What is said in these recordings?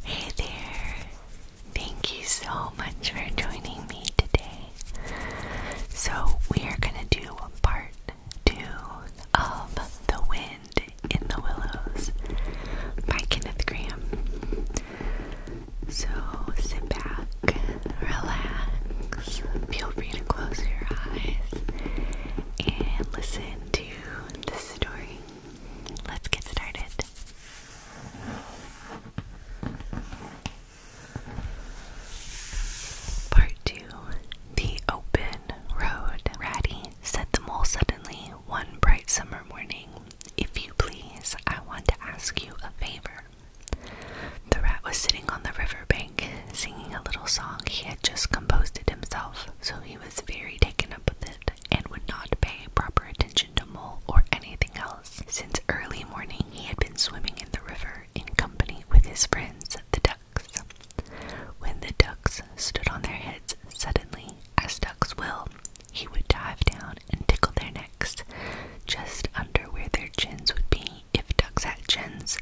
Hey there! Thank you so much for joining me today. So, we are going to do part two of The Wind in the Willows by Kenneth Graham. So, sit back, relax, feel free to close your eyes, and listen to the story. Let's get started. Part 2 The Open Road. Ratty said the mole suddenly one bright summer morning. If you please, I want to ask you a favor. The rat was sitting on the riverbank singing a little song. He had just composed it himself, so he was very taken up with it and would not pay proper attention attention to Mole or anything else. Since early morning, he had been swimming in the river in company with his friends, the ducks. When the ducks stood on their heads suddenly, as ducks will, he would dive down and tickle their necks, just under where their chins would be if ducks had chins,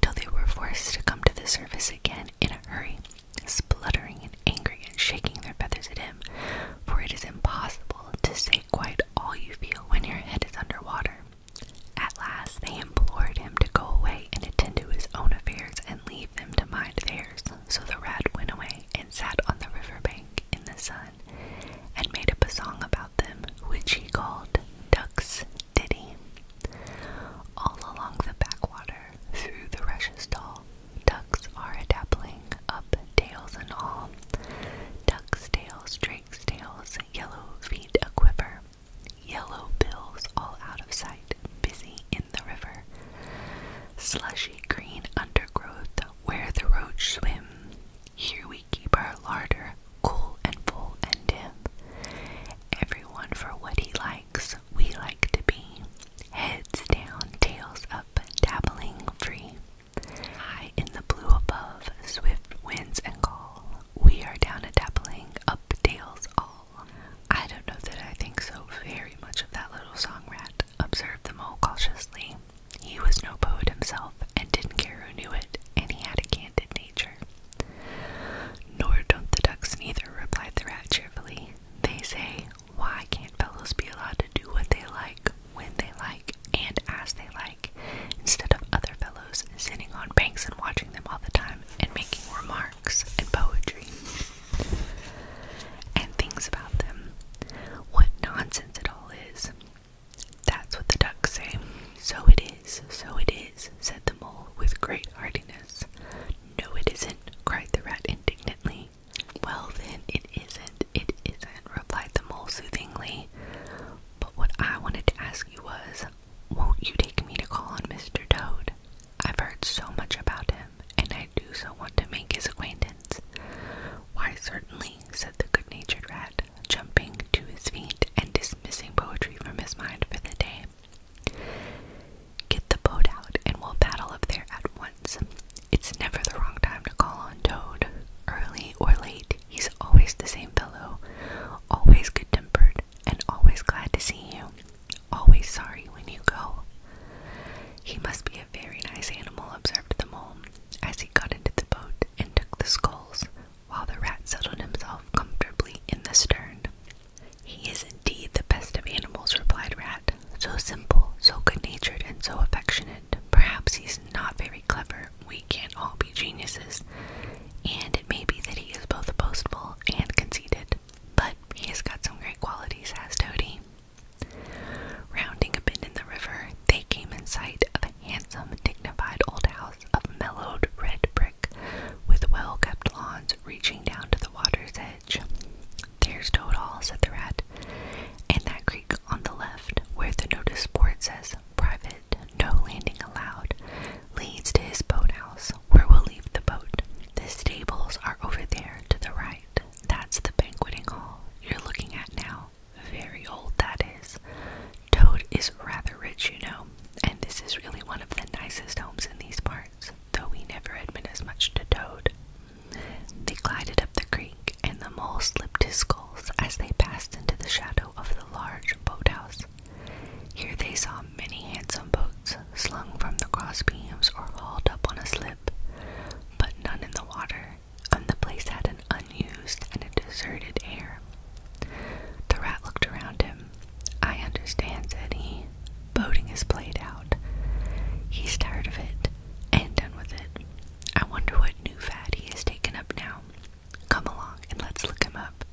till they were forced to come to the surface again in a hurry spluttering and angry and shaking their feathers at him, for it is impossible to say quite all you feel when your head is under water. At last they implored him to go away and attend to his own affairs and leave them to mind theirs. So the rat went away and sat on the river bank in the sun and made up a song about them, which he called Duck's Ditty. All along the backwater, through the rushes tall, Ducks are a dappling, up tails and all. Ducks' tails, drakes' tails, yellow feet a quiver. Yellow bills all out of sight, busy in the river. Slushy green undergrowth, where the roach swim. Here we keep our larder, cool and full and dim. Everyone for what he likes, we like to be heads down, tails up, dabbling free. High in the blue above, swift winds and call. We are down a dabbling, up tails all. I don't know that I think so very much of that little song rat, observed the mole cautiously. He was no poet himself and didn't care who knew it, and he had a candid nature. Nor don't the ducks neither, replied the rat cheerfully. They say, why can't fellows be allowed to do what they like, when they like, and as they like, instead of other fellows sitting on banks and watching them all the time and making remarks and poetry and things about them? What nonsense it all is. That's what the ducks say. So it is, so it is, said the mole with great heartiness. No, it isn't, cried the rat indignantly. Well, then, it isn't. It isn't, replied the mole soothingly. But what I wanted to ask you was won't you take me to call on Mr. Toad? I've heard so much about him, and I do so want to make his acquaintance. Why, certainly, said the good natured rat, jumping to his feet and dismissing poetry from his mind for the day. Get the boat out and we'll paddle up there at once. It's never the wrong time to call on Toad. Early or late, he's always the same fellow. Always good tempered and always glad to see you. Always sorry when you go. He must be a very nice animal, observed the mole as he got into the boat and took the sculls, while the rat settled himself comfortably in the stern. He is indeed the best of animals, replied Rat so simple, so good natured, and so affectionate. Perhaps he's not very clever. We can't all be geniuses. And it may be that he is both boastful and conceited. But he has got some great qualities, has Toady. Rounding a bend in the river, they came in sight of a handsome, dignified old house of mellowed red brick with well kept lawns reaching down to the water's edge. There's Toad Hall, said the rat, and that creek on the left, where the notice board says private, no landing allowed, leads to his boathouse, where we'll leave the boat. The stables are over there to the right. That's the banqueting hall you're looking at now. Very old, that is. Toad is rather rich, you know, and this is really one of the nicest homes in these parts though he never had as much to Toad. They glided up the creek, and the mole slipped his sculls as they passed into the shadow of the large boathouse. Here they saw many handsome boats slung from the cross beams or hauled up on a slip, but none in the water, and the place had an unused and a deserted air. The rat looked around him. I understand, said he. Boating is played out. He's tired of it and done with it. I wonder what new fad he has taken up now. Come along and let's look him up.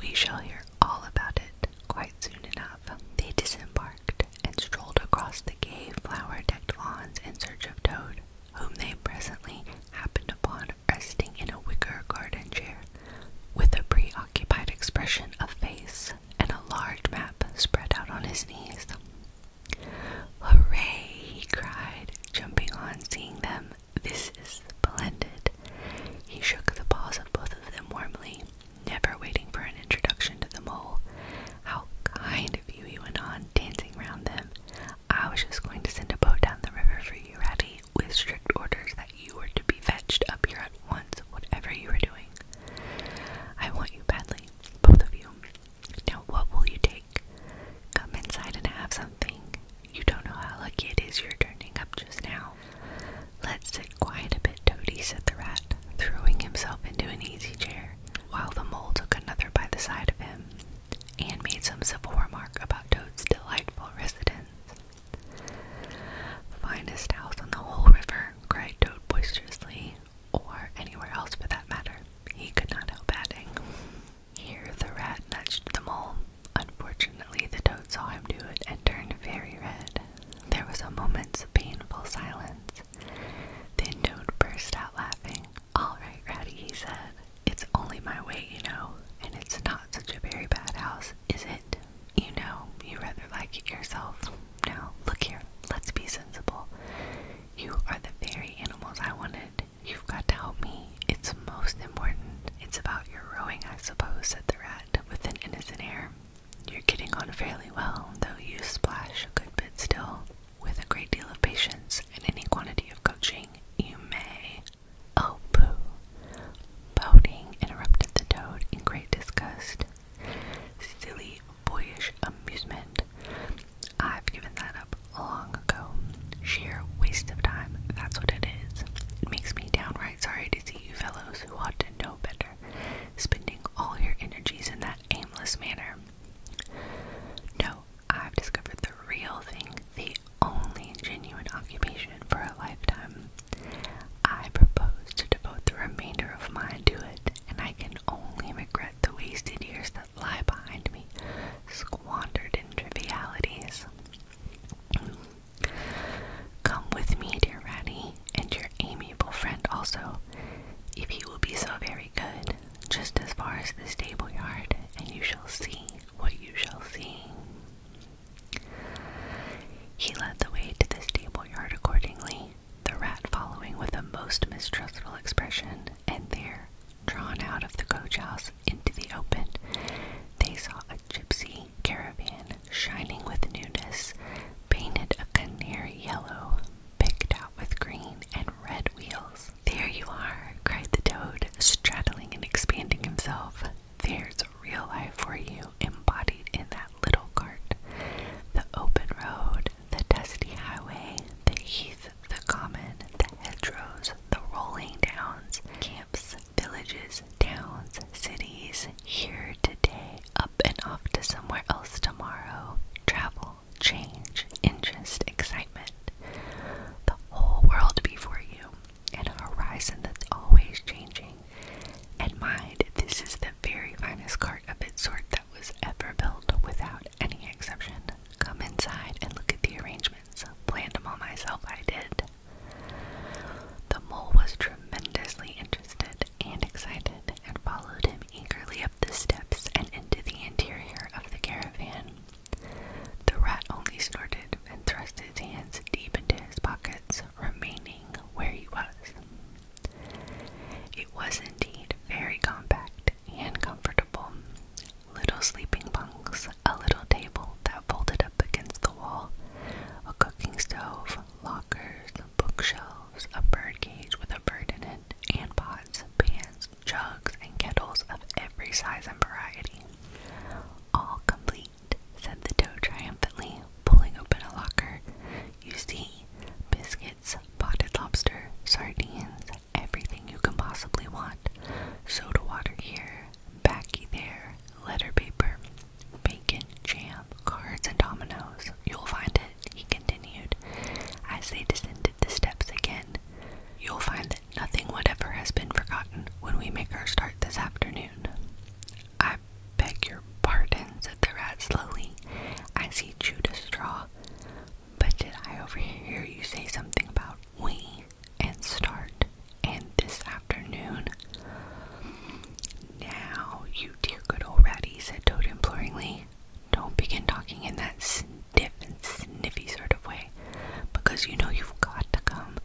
We shall hear all about it quite soon enough. They disembarked and strolled across the gay, flower decked lawns in search of Toad, whom they presently happened upon resting in a wicker garden chair with a preoccupied expression of face and a large map spread out on his knees. Hooray! he cried, jumping on seeing them. This is splendid. He shook the paws of both of them warmly, never waiting for an introduction to the mole. How kind of you, he went on, dancing round them. I was just going to send a boat down the river for you, Ratty, with strict orders that you were to be fetched up here at once, whatever you were doing. I want you badly, both of you. Now, what will you take? Come inside and have something. You don't know how lucky it is you're turning up just now. Let's sit quiet a bit, Toadie said the rat, throwing himself into an easy chair, while the mole took another by the side of him, and made some civil remark about Toad's delightful residence. Finest house on the whole river, cried Toad boisterously, or anywhere else for that matter. He could not help adding. Here the rat nudged the mole. Unfortunately, the toad saw him do it and turned very red. There was a moment's painful silence. Then Toad burst out laughing. All right, Ratty, he said. It's only my way, you know, and it's not such a very bad house, is it? You know, you rather like it yourself. Now look here, let's be sensible. You are the very animals I wanted. You've got to help me. It's most important. It's about your rowing, I suppose, said the rat, with an innocent air. You're getting on fairly well, though you splash a good bit still. With a great deal of patience and any quantity of coaching, you may. Oh, pooh. Boating, interrupted the toad in great disgust silly, boyish amusement. I've given that up long ago. Sheer waste of time, that's what it is. It makes me downright sorry to see you fellows who ought to know better, spending all your energies in that aimless manner. No, I've discovered the real thing, the only genuine occupation for a lifetime. I propose to devote the remainder of mine to it, and I can only regret the wasted years that lie behind me, squandered in trivialities. Come with me, dear Ratty, and your amiable friend also, if you will be so very good, just as far as the stable yard, and you shall see what you shall see. He led the way to the stable yard accordingly, the rat following with a most mistrustful expression, and there, drawn out of the coach house into the open, they saw a gypsy caravan shining with newness, painted a canary yellow, picked out with green and red wheels. There you are, cried the toad, straddling and expanding himself. There's real life for you, embodied in that little cart. The open road, the dusty highway, the heath, the common, the hedgerows, the rolling downs, camps, villages, towns, cities, here today, up and off to somewhere else tomorrow, travel, change, interest, excitement, the whole world before you, and a horizon that's always changing. And mind, this is the very finest card of its sort that was ever built without any exception. Come inside and look at the arrangements. Planned them all myself, I did. The mole was tremendously interested and excited and followed him eagerly up the steps and into the interior of the caravan. The rat only snorted and thrust his hands deep into his pockets, remaining where he was. It was indeed very compact and comfortable. Little sleeping bunks, a little table that folded up against the wall, a cooking stove, lockers, bookshelves, a bird cage with a bird in it, and pots, pans, jugs, and kettles of every size and variety. All complete, said the toad triumphantly, pulling open a locker. You see, biscuit." It's potted lobster, sardines, everything you can possibly want. Soda water here, backy there, letter paper, bacon, jam, cards, and dominoes. You'll find it, he continued, as they descended the steps again. You'll find that nothing whatever has been forgotten when we make our start this afternoon. I beg your pardon, said the rat slowly, as he chewed a straw. But did I overhear you say something about we and start and this afternoon? Now, you dear good old rat," said Toto imploringly, don't begin talking in that sniff and sniffy sort of way, because you know you've got to come.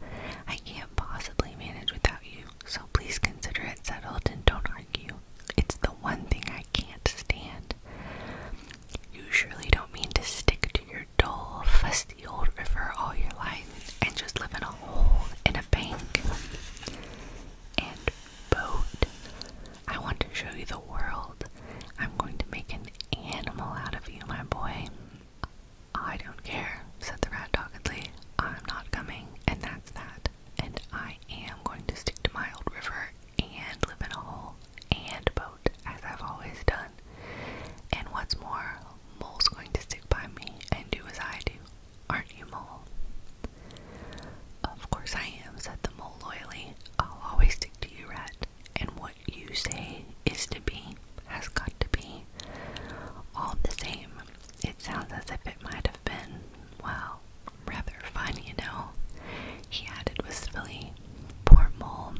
I can't possibly manage without you, so please consider it settled and don't argue. It's the one thing I can't stand. You surely don't mean to stick to your dull, fusty old river all your life and just live in a hole in a bank. And boat. I want to show you the world. I'm going to make an animal out of you, my boy. I don't care, said the rat doggedly. I'm not coming, and that's that and I am going to stick to my old river and live in a hole and boat as I've always done. And what's more, Mole's going to stick by me and do as I do. Aren't you, Mole? Of course I am, said the Mole loyally. I'll always stick to you, Rat. And what you say is to be, has got to be. All the same, it sounds as if it might have have been, well, rather fun, you know, he added wistfully. Poor Mole.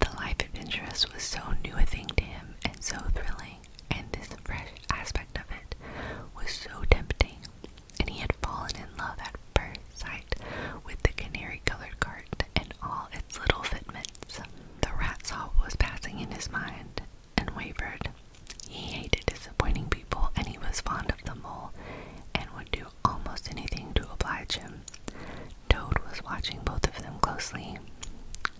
The life adventurous was so new a thing to him and so thrilling, and this fresh aspect of it was so tempting, and he had fallen in love at first sight with the canary colored cart and all its little fitments. The rat saw what was passing in his mind and wavered, he hated disappointing people and he was fond of the mole and would do almost anything to oblige him. Toad was watching both of them closely.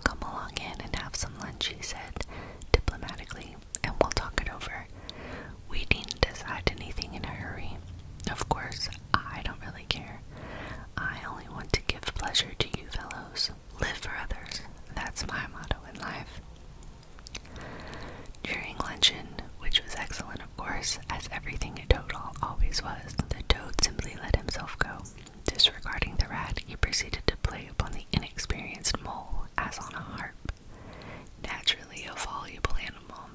Come along in and have some lunch, he said diplomatically, and we'll talk it over. We didn't decide anything in a hurry. Of course, I don't really care. I only want to give pleasure to you fellows. Live for others. That's my motto in life. During luncheon, which was excellent, of course, as everything at Toad Hall always was, the toad simply let himself go. Disregarding the rat, he proceeded to play upon the inexperienced mole as on a harp. Naturally a voluble animal,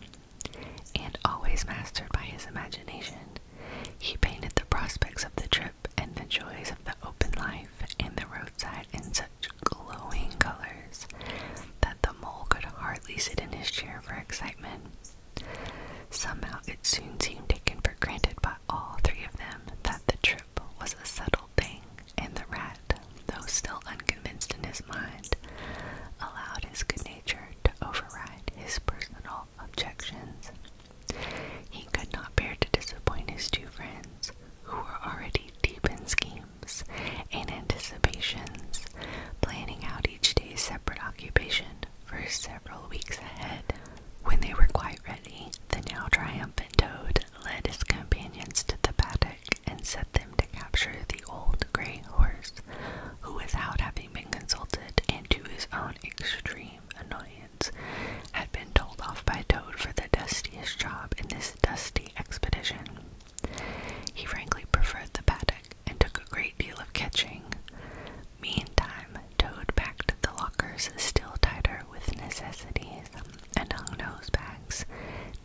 and always mastered by his imagination, he painted the prospects of the trip and the joys of the open life life in the roadside in such glowing colors that the mole could hardly sit in his chair for excitement. Somehow it soon seemed taken for granted by all three of them that the trip was a settled thing, and the rat, though still unconvinced in his mind, allowed his good nature to override his personal objections. He could not bear to disappoint his two friends, who were already deep in schemes, and anticipations, planning out each day's separate occupation for several weeks ahead. When they were quite ready, the now triumphant toad led his companions to the paddock and set them to capture the old gray horse, who, without having been consulted and to his own extreme annoyance, had been told off by Toad for the dustiest job in this dusty expedition. He frankly preferred the paddock and took a great deal of catching. Meantime, Toad packed the lockers still tighter with necessities and hung nose bags,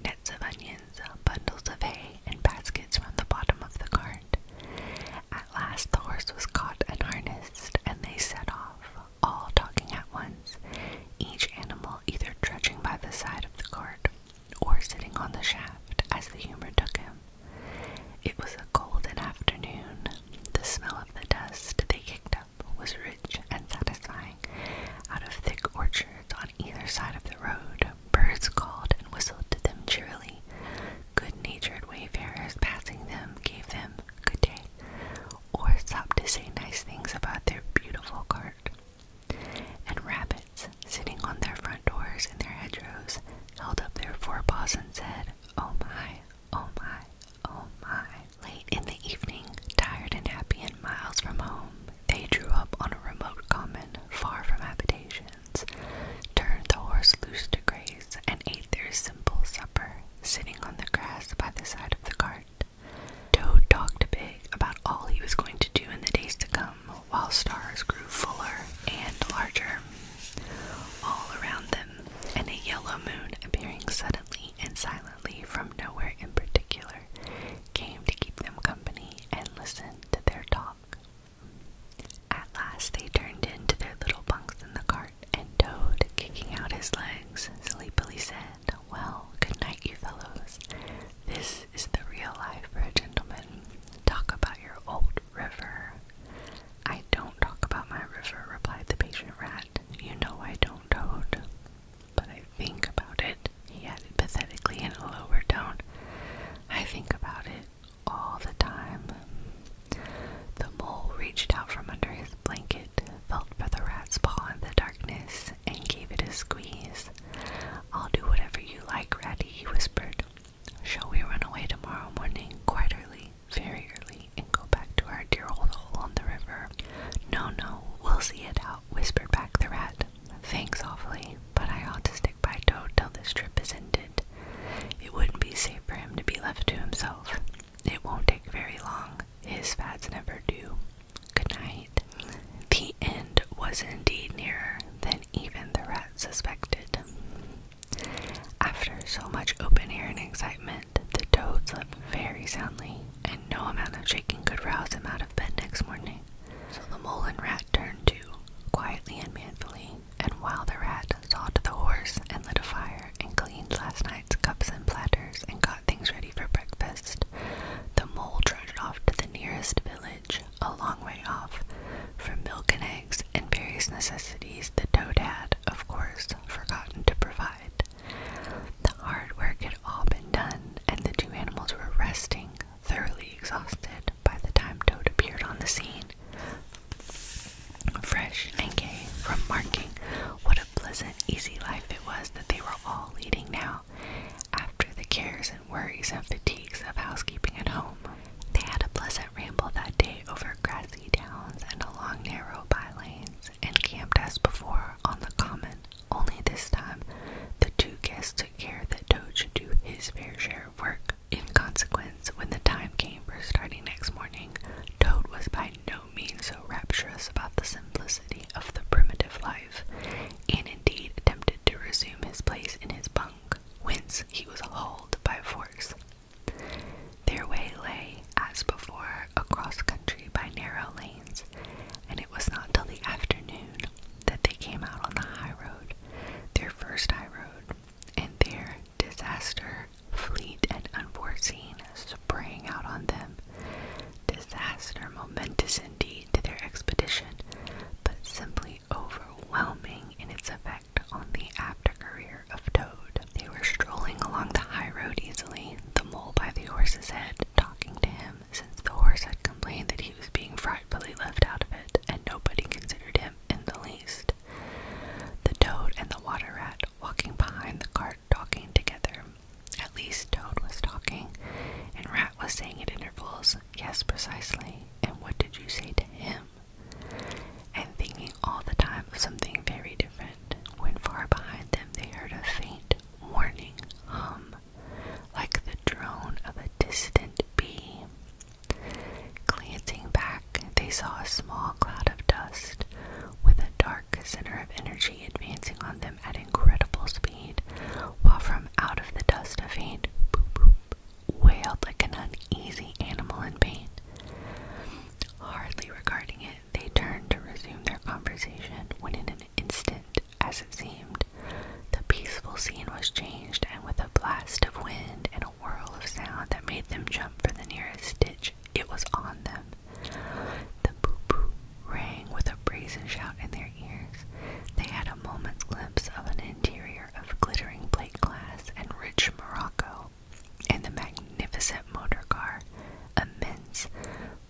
nets of onions, bundles of hay, and baskets from the bottom of the cart. At last the horse was caught and harnessed, and they set off, all talking at once, each animal either trudging by the side of the cart or sitting on the shaft as the humor took him. It was a golden afternoon. The smell of the dust they kicked up was rich and satisfying. Out of thick orchards on either side of the road, birds called and whistled to them cheerily. Good-natured wayfarers passing them gave them good day, or stopped to say nice things about their beautiful cart. And rabbits, sitting on their front doors in their hedgerows, held up their forepaws and said, Oh my, oh my, oh my. Late in the evening, tired and happy and miles from home, they drew up on a remote common, far from habitations, turned the horse loose to graze, and ate their simple supper, sitting on the grass by the side of the cart. Toad talked to Pig about all he was going to do in the days to come while stars grew fuller and larger all around them, and a yellow moon appearing suddenly and silently from nowhere in particular came to keep them company and listen to their talk. At last they turned into their little bunks in the cart, and Toad, kicking out his legs, sleepily said, well, good night, you fellows. This is the real life for a gentleman. Talk about your old river. I don't talk about my river, replied the patient rat. You know I don't, Toad. But I think about it, he added pathetically in a lower tone. I think about it all the time. The mole reached out from under his blanket felt for the rat's paw in the darkness, and gave it a squeeze. I'll do whatever you like, Ratty, he whispered. Shall we run away tomorrow morning, quite early, very early, and go back to our dear old hole on the river? No, no, we'll see it out, whispered back the rat. Thanks awfully, but I ought to stick by Toad till this trip is ended. It wouldn't be safe for him to be left to himself. It won't take very long. His fads never do. Good night. The end was indeed nearer than even the rat suspected. After so much open air and excitement, the toad slept very soundly, and no amount of shaking could rouse him out of bed next morning. So the mole and rat turned to, quietly and manfully, and while the rat sawed the horse and lit a fire and cleaned last night's cups and platters, and got things ready for breakfast. The mole trotted off to the nearest village, a long way off, for milk and eggs and various necessities the toad had, of course, forgotten to provide. The hard work had all been done, and the two animals were resting, thoroughly exhausted, by the time Toad appeared on the scene. Fresh and gay from marking what a pleasant, easy life it was that they were all leading now after the cares and worries and fatigues of housekeeping at home. They had a pleasant ramble that day over grassy downs and along narrow by lanes, and camped as before on the common. Only this time, the two guests took care that Toad should do his fair share of work. In consequence, when the time came for starting next morning, Toad was by no means so rapturous about the simplicity of the primitive life and indeed attempted to resume his place in his bunk, whence he was hauled by force. Their way lay, as before, across country by narrow lanes, and it was not till the afternoon that they came out on the high road, their first high road, and their disaster, fleet and unforeseen, sprang out on them, disaster momentous indeed to their expedition, but simply overwhelming in its effect on the after career of Toad. They were strolling along the high road easily, the mole by the horse's head talking to him, since the horse had complained that he was being frightfully left out of it, and nobody considered him in the least. The toad and the water rat walking behind the cart talking together. At least Toad was talking, and Rat was saying at intervals, Yes, precisely. And what did you say to him? And thinking all the time of something very different, when far behind them they heard a faint warning hum, like the drone of a distant bee. Glancing back, they saw a small cloud of dust with a dark center of energy advancing on them at incredible speed, while from out of the dust of hate, wailed like an uneasy animal in pain. Hardly regarding it, they turned to resume their conversation when, in an instant, as it seemed, the peaceful scene was changed, and with a blast of wind and a whirl of sound that made them jump for the nearest ditch, it was on them. The poo-poo rang with a brazen shout in their ears. They had a moment's glimpse of an interior of glittering plate glass and rich morocco, and the magnificent motor car, immense,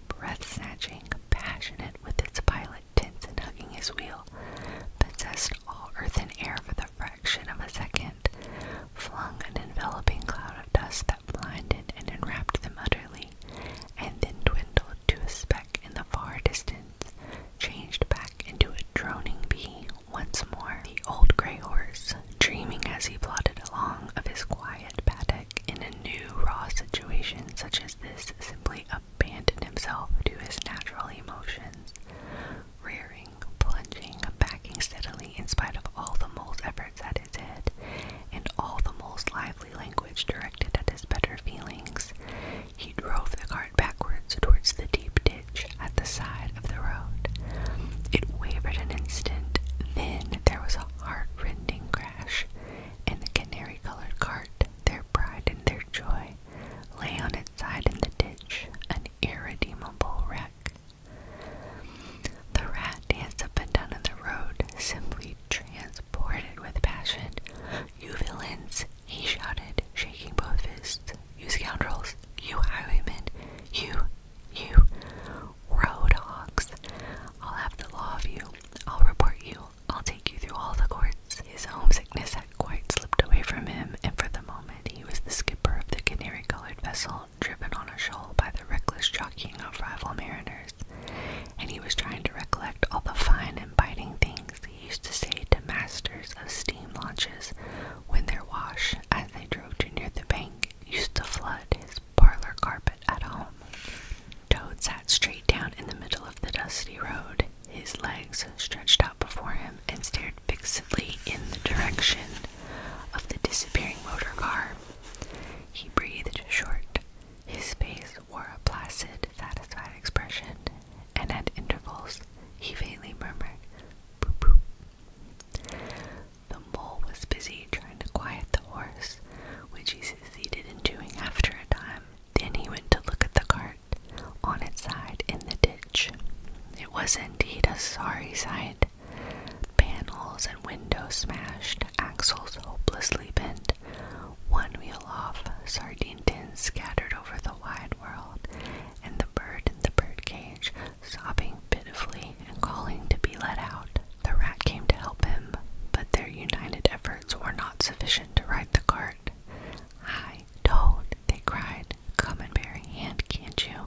breath-snatching, passionate with its pilot tense and hugging his wheel, possessed all earth and air for the fraction of a second, flung an enveloping cloud of dust that blinded and enwrapped them utterly, and then dwindled to a speck in the far distance, changed back into a droning bee once more. The old gray horse, dreaming as he plodded along of his quiet paddock in a new raw situation such as this, simply abandoned himself to his natural emotions. Rearing, plunging, backing steadily in spite of all the mole's efforts at his head, and all the mole's lively language directed at his better feelings, he drove the cart backwards towards the deep ditch at the side of the road. It wavered an instant, then there was a heart-rending crash, and the canary-colored cart, their pride and their joy, lay on its side in the ditch, an irredeemable wreck. The rat danced up and down in the road, simply trans supported with passion. You villains, he shouted, shaking both fists. You scoundrels, you highwaymen, you, you, road hogs. I'll have the law of you. I'll report you. I'll take you through all the courts. His homesickness had quite slipped away from him, and for the moment he was the skipper of the canary colored vessel driven on a shoal by the reckless jockeying of rival mariners and he was trying to recollect all the fine and biting things he used to say to masters of steam launches when their wash, as they drove to near the bank, used to flood his parlor carpet at home. Toad sat straight down in the middle of the dusty road, his legs stretched out before him, and stared fixedly in the direction of the disappearing motor car. He breathed short, his face wore a placid, satisfied expression, and at intervals he faintly murmured, "Boo-boo." The mole was busy trying to quiet the horse, which he succeeded in doing after a time. Then he went to look at the cart on its side in the ditch. It was indeed a sorry sight. Panels and windows smashed, axles hopelessly bent, one wheel off, sardine tins scattered over the wide world, and the bird in the bird cage sobbing pitifully and calling to be let out. The rat came to help him, but their united efforts were not sufficient to right the cart. Hi, Toad, they cried. Come and bear a hand, can't you?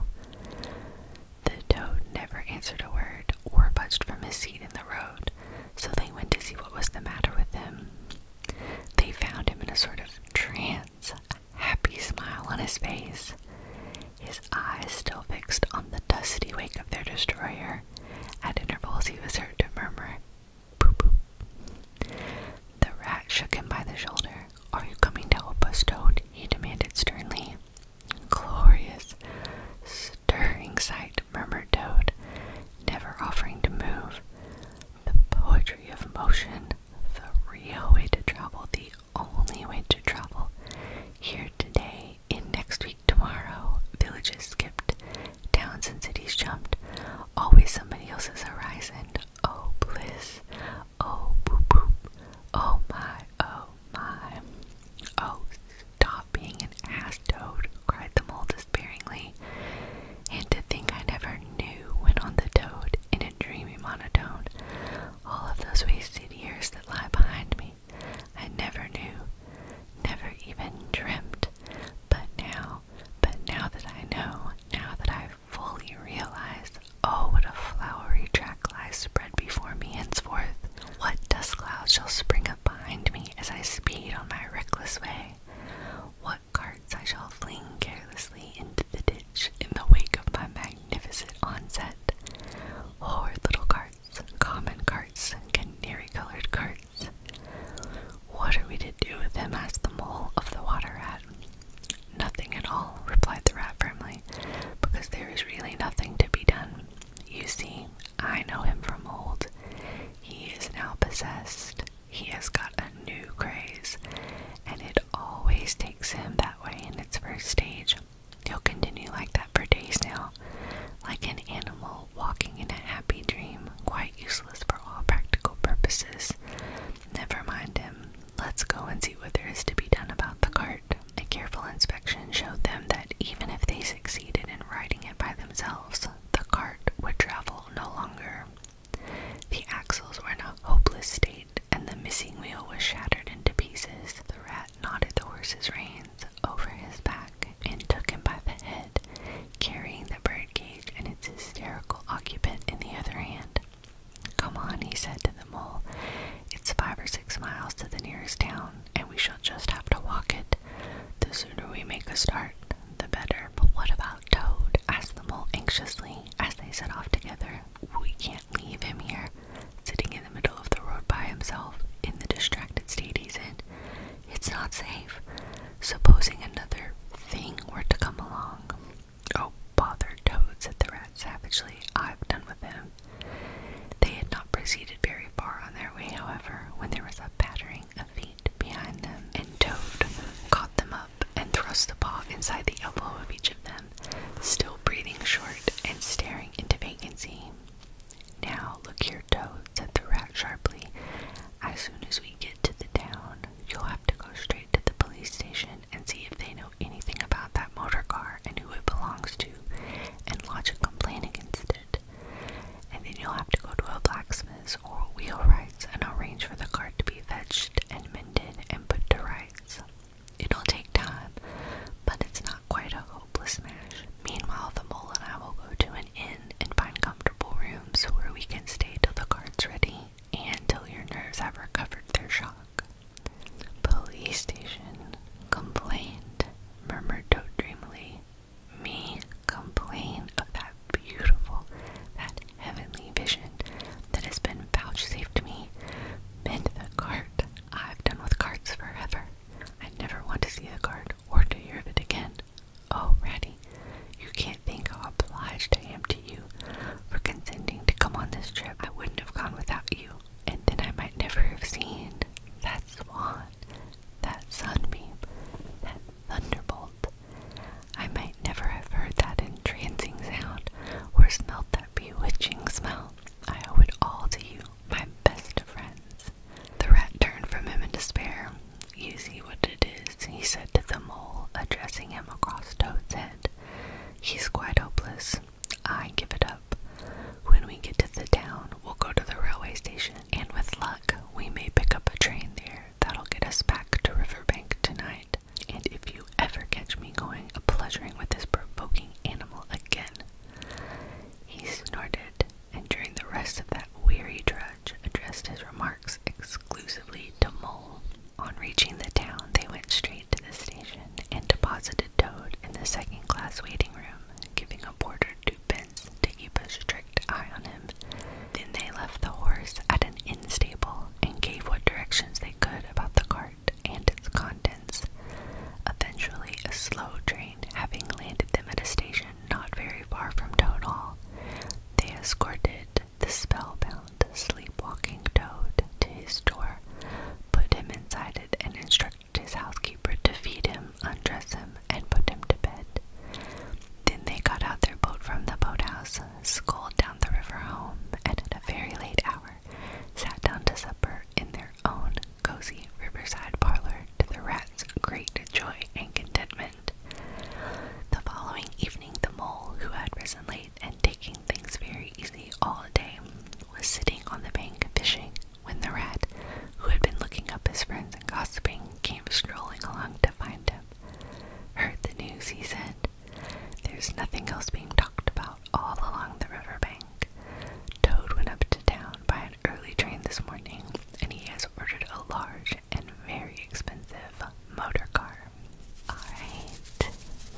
The toad never answered a word or budged from his seat in the road so they went to see what was the matter with him. They found him in a sort of trance, a happy smile on his face, his eyes still fixed on the dusty wake of their destroyer. At intervals, he was heard to murmur, Poo poo. The rat shook him by the shoulder. Are you coming to help us, Toad? he demanded sternly. Glorious, stirring sight perfect, murmured Toad, never offering to move. The poetry of motion, the real way to travel, the only way to travel. Here today, in next week, tomorrow, villages skipped, towns and cities jumped, always somebody else's horizon. Oh, bliss. Oh, boop, boop. Oh, my, oh, my. Oh, stop being an ass toad, cried the mole despairingly. And to think I never knew, went on the toad in a dreamy monotone. All of those wasted years that lie behind me, I never knew, never even dreamt. But now, but now that I know, now that I've fully realized, oh, what a flowery track lies spread before me henceforth. What dust clouds shall spring up? behind me as I speed on my reckless way. What carts I shall fling carelessly into the ditch in the wake of my magnificent onset. Horrid little carts, common carts, canary colored carts. What are we to do with them? asked the mole of the water rat. Nothing at all, replied the rat firmly, because there is really nothing to be done. You see, I know him from old. He is now possessed. He has got a new craze, and it always takes him that way in its first stage. He'll continue like that for days now, like an animal walking in a happy dream, quite useless for all practical purposes. Never mind him. Let's go and see what there is to be done about the cart. A careful inspection showed them that even if they succeeded in riding it by themselves, the cart would travel no longer. The axles were in a hopeless state, and the missing wheel was shattered into pieces. The rat knotted the horse's reins over his back and took him by the head, carrying the bird cage and its hysterical occupant in the other hand. Come on, he said to the mole. It's five or six miles to the nearest town and we shall just have to walk it. The sooner we make a start, the better. But what about Toad? asked the mole anxiously as they set off together. We can't leave him here, sitting in the middle of the road by himself, in the distracted state he's in. It's not safe. Supposing another thing were to come along. Oh, bother Toad, said the rat savagely. I've done with him. They had not proceeded very far on their way, however, when there was a pattering of feet behind them, and Toad caught them up and thrust the paw inside the elbow of each of them, still breathing short and staring into vacancy. Now, look here, Toad, said the rat sharply. As soon as we get to the town, you'll have to go straight to the police station and see if they know anything about that motor car and who it belongs to, and lodge a complaint against it. And then you'll have to go to a blacksmith's or wheelwright's and arrange for the cart to be fetched and mended and put to rights. It'll take time, but it's not quite a hopeless match. Meanwhile, the mole and I will go to an inn and find comfortable rooms where we can stay till the cart's ready and till your nerves have recovered their shock. Police station. Complaint, murmured Toad dreamily me complain of that beautiful, that heavenly vision that has been vouchsafed me. Mend the cart. I've done with carts forever. I never want to see the cart or to hear of it again. Oh, Ratty, you can't think how obliged I am to you for consenting to come on this trip. I wouldn't have gone without you, and then I might never have seen that swan that sunbeam, that thunderbolt. I might never have heard that entrancing sound or smelt that bewitching smell. I owe it all to you, my best friends. The rat turned from him in despair. You see what it is, he said to the mole, addressing him across Toad's head. He's quite hopeless. I give it up. When we get to the town, we'll go to the railway station and with luck, we may pick up a train there that'll get us back to Riverbank tonight. And if you ever catch me going a pleasuring with this provoking animal again, he snorted, and during the rest of that weary trudge, addressed his remarks exclusively to Mole. On reaching the town, they went straight to the station and deposited Toad in the second class waiting room, giving a porter two twopence attendants to keep a strict eye on him. Then they left the horse at an inn stable and gave what directions they could about the cart and its contents. Eventually, a slow train, having landed them at a station not very far from Toad Hall, they escorted the spellbound, sleepwalking Toad to his door, put him inside it, and instructed his housekeeper to feed him, undress him, and put him to bed. Then they got out their boat from the boathouse, sculled down the river home, and at a very late hour sat down to supper in their own cozy riverside parlor to the rat's great joy and contentment. The following evening, the mole, who had risen late and taking things very easy all day, was sitting on the bank fishing when the rat, who had been looking up his friends and gossiping, came strolling along to find him. Heard the news, he said. There's nothing else being talked about all along the riverbank. Toad went up to town by an early train this morning, and he has ordered a large and very expensive motor car. Alright,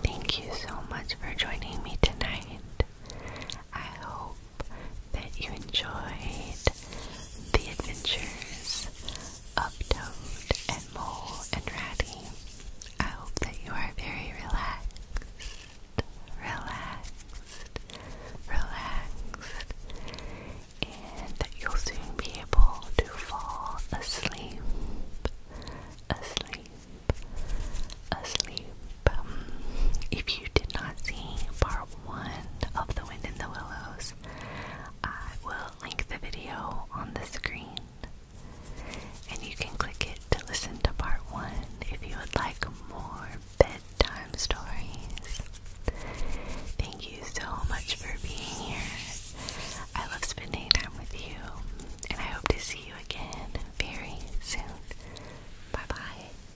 thank you so much for joining me tonight. I hope that you enjoyed the adventures of Toad and Mole and Ratty. I hope that you are very relaxed, relaxed, relaxed, and that you'll soon be able to fall asleep, asleep, asleep. Um, if you did not see part one of The Wind in the Willows, I will link the video on the screen. And you can click it to listen to part one if you would like more bedtime stories. Thank you so much for being here. I love spending time with you, and I hope to see you again very soon. Bye bye.